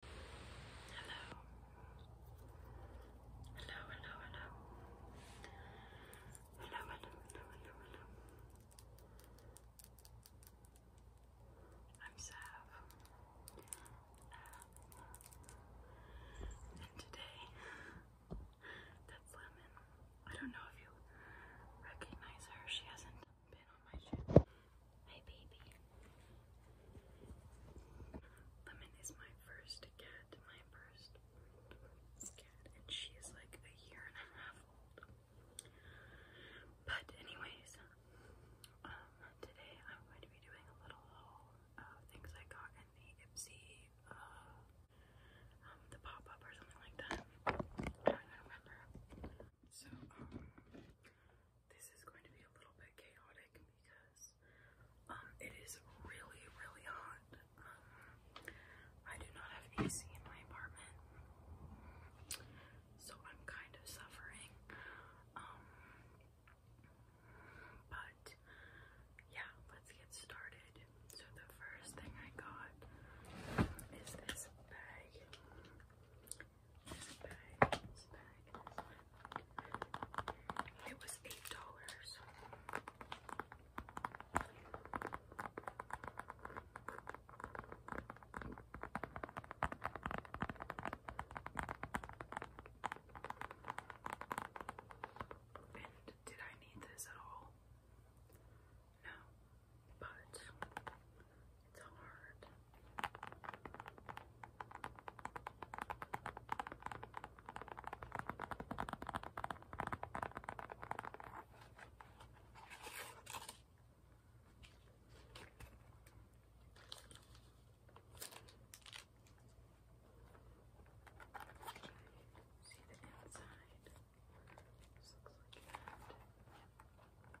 Hello. Hello, hello, hello. Hello, hello, hello, I'm Sav. and today, that's Lemon. I don't know if you recognize her, she hasn't been on my channel my baby. Lemon is my first cat, my first cat, and she is like a year and a half old. But anyways, um, today I'm going to be doing a little things I got in the Ipsy, uh, um, the pop-up or something like that. I do remember. So, um, this is going to be a little bit chaotic because um, it is really, really hot. Um, I do not have AC in my apartment, so I'm kind of suffering. Um, but yeah, let's get started. So the first thing I got is this bag this bag. It was eight dollars. And did I need this at all? No, but it's hard. See the inside. looks like that.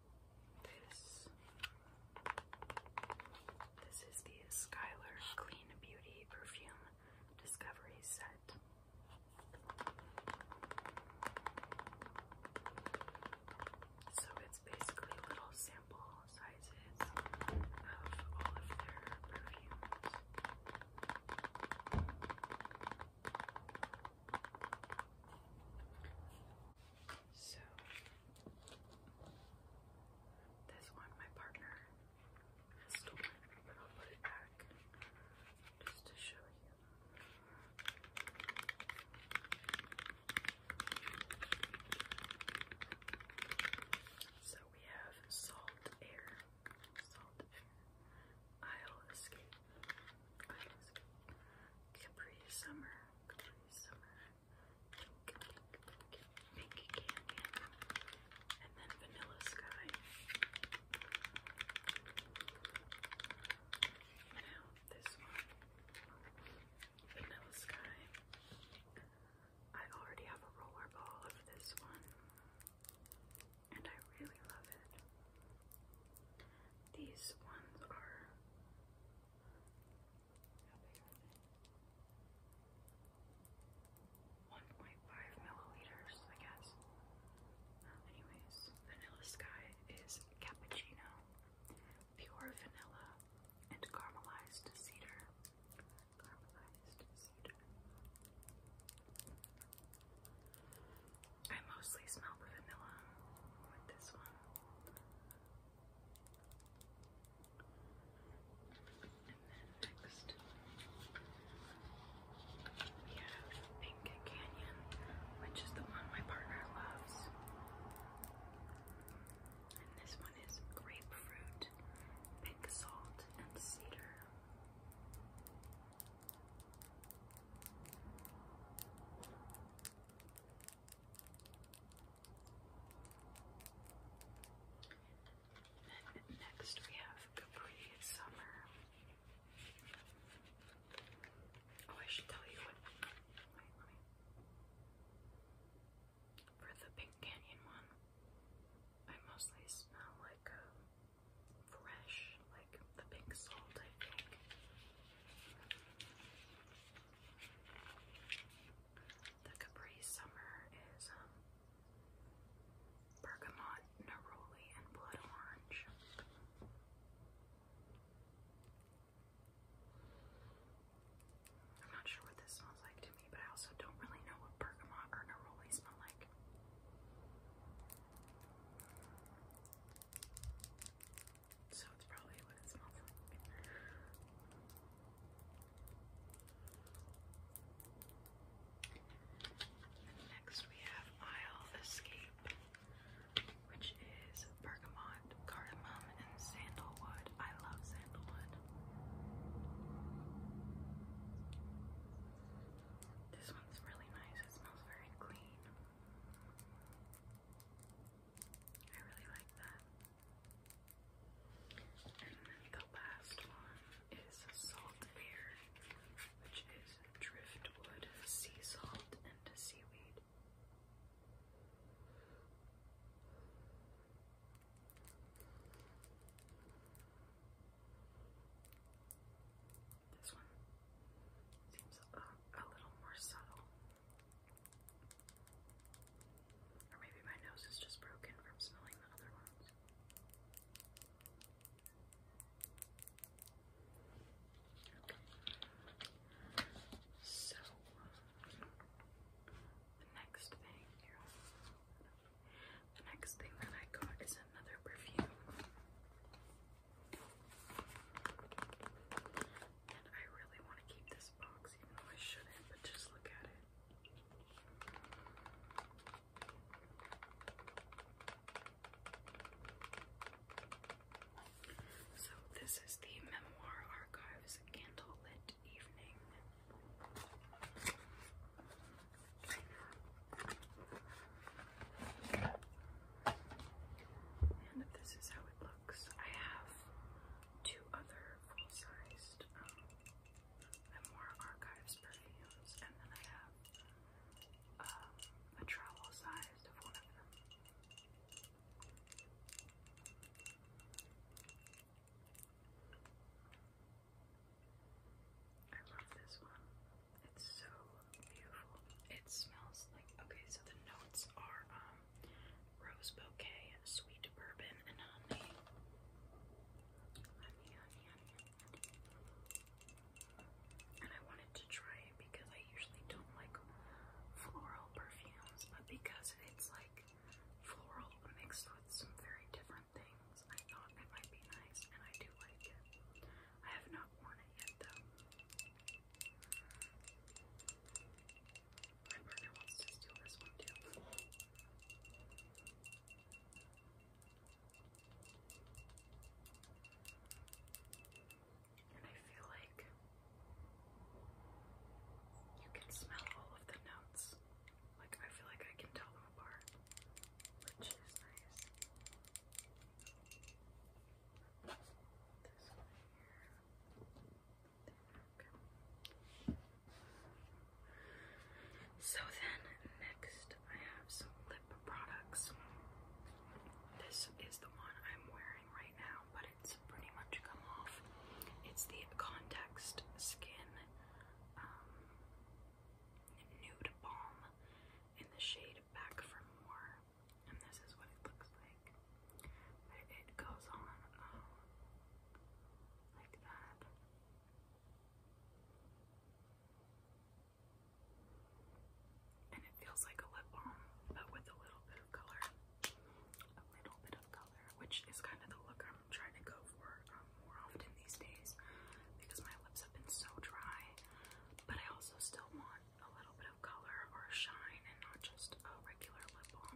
this. is the Skylar Clean Beauty Perfume Discovery Set. So it's basically little sample sizes of all of their perfumes. So this one my partner has but I'll put it back just to show you. So we have Salt Air, Salt Air, i Escape, Capri Summer. pink candy. And then Vanilla Sky. Now, this one. Vanilla Sky. I already have a rollerball of this one. And I really love it. These ones are. 1.5 milliliters, I guess. Um, anyways, Vanilla Sky is cappuccino, pure vanilla, and Caramelized cedar. I mostly smell the vanilla with this one. next, we have Inca Canyon, which is the one my partner loves. And this one is grapefruit, pink salt, and cedar next we have Capri Summer. Oh, I should tell you what. For the Pink Canyon one, I mostly smell like um, fresh, like the pink salt, I think. The Capri Summer is um, bergamot, neroli, and blood orange. I'm not sure what this smells like to me, but I also don't really know what bergamot or neroli smell like. So it's probably what it smells like. next we have Isle Escape, which is bergamot, cardamom, and sandalwood. I love sandalwood. This one's really nice. It smells very clean. I really like that. And then the last one is salt air, which is driftwood, sea salt, and seaweed. This one seems a, little more subtle. Or maybe my nose is just broken from smelling the other ones. So, the next thing the next thing that I got is another perfume. I really want to keep this box, even though I shouldn't, but just look at it. So, this is the Memoir Archives Candlelit Evening. And this is how it looks. I have two other full-sized um, Archives perfumes, and then I have um, a travel-sized of one of them. I love this one. It's so beautiful. It smells like okay, so the notes are um rose bouquet, sweet bourbon, and honey. Honey, honey, honey, And I wanted to try it because I usually don't like floral perfumes, but because it's like floral mixed with some very different things, I thought it might be nice, and I do like it. I have not worn it yet, though. My partner wants to steal this one too. And I feel like you can smell all of the notes. Like, I feel like I can tell them apart, which is nice. This So then next I have some lip products. This is the one I'm wearing right now, but it's pretty much come off. It's the Context Skin um, Nude Balm in the shade Back for More and this is what it looks like. it goes on um, like that. And it feels like a lip balm, but with a little bit of color. A little bit of color, which is kind of the look I'm trying to go for um, more often these days because my lips have been so dry. But I also still want a little bit of of color or shine and not just a regular lip balm.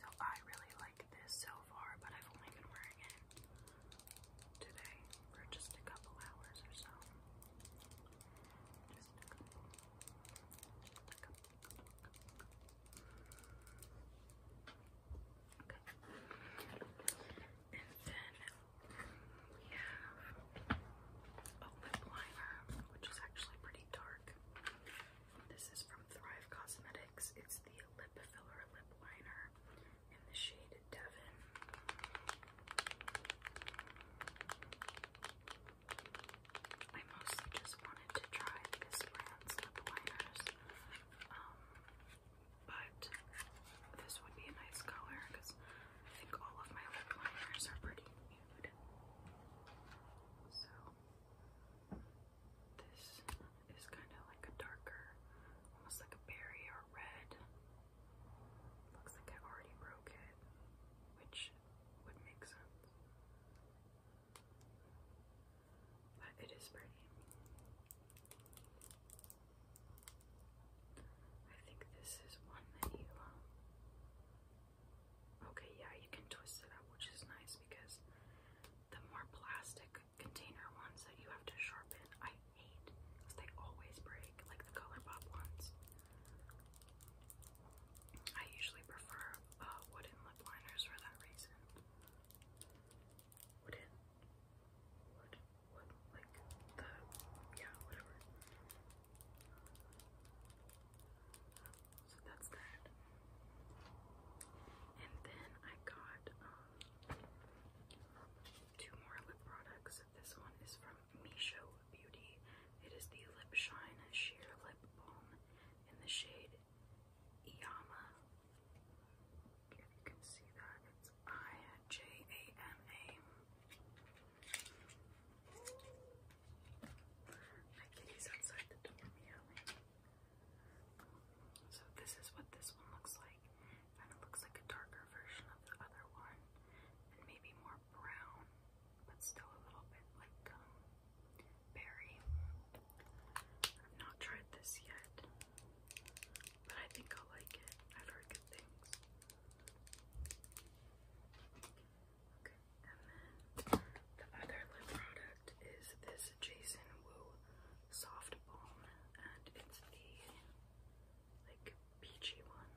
So I really like this so far, but I've only been wearing it today for just a couple hours or so. Okay. And then we have a lip liner, which is actually pretty dark. This is from Thrive Cosmetics. It's the Lip Filler Lip Liner in the shade Devon. I mostly just wanted to try this brand's lip liners but this would be a nice color because I think all of my lip liners are pretty nude. So this is kind of like a darker, almost like a berry or red. Looks like I already broke it, which would make sense. But it is pretty. I think this is one that you, um, okay, yeah, you can twist it up, which is nice because the more plastic container ones that you have to sharpen, I hate because they always break, like the Color ones. I usually prefer uh, wooden lip liners for that reason wooden wood wood like the yeah, whatever. So that's that. And then I got um two more lip products. This one is from Micho Beauty. It is the Lip Shine Sheer Lip Balm in the shade Yama if you can see that, it's I-J-A-M-A. My kitty's outside the door So this is what this one looks like. Kind of looks like a darker version of the other one. And maybe more brown, but still a little bit like um, berry. I've not tried this yet but I think I'll like it. I've heard good things. Okay, and then the other lip product is this Jason Wu Soft Balm, and it's the like peachy one.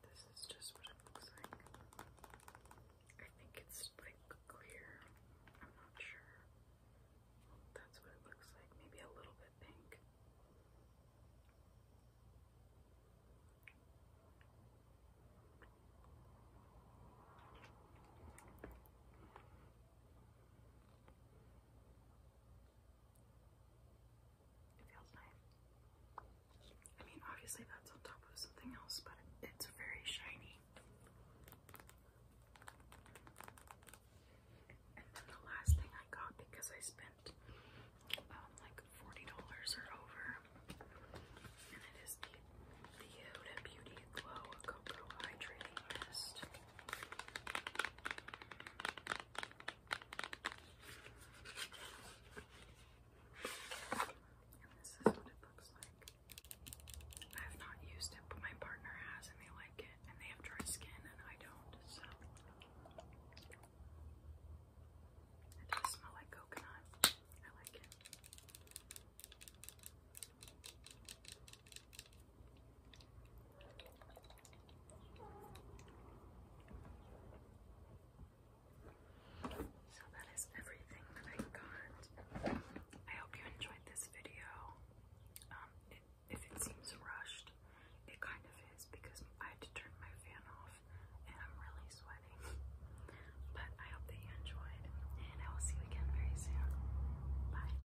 This is just what it looks like. I think it's like clear. I'm not sure. That's what it looks like. Maybe a little bit pink. It feels nice. I mean, obviously that's on top of something else, but it's very shiny. And then the last thing I got because I spent um, like $40 or over, and it is the, the Beauty Glow Cocoa Hydrating Mist. And this I have not used it, but my partner has, and they like it, and they have dry skin, and I don't, so. It does smell like coconut. I like it. So that is everything that I got. I hope you enjoyed this video. Um, if it seems rushed, it kind of is because I had to turn my fan off and I'm really sweating. But I hope that you enjoyed, and I will see you again very soon. Bye.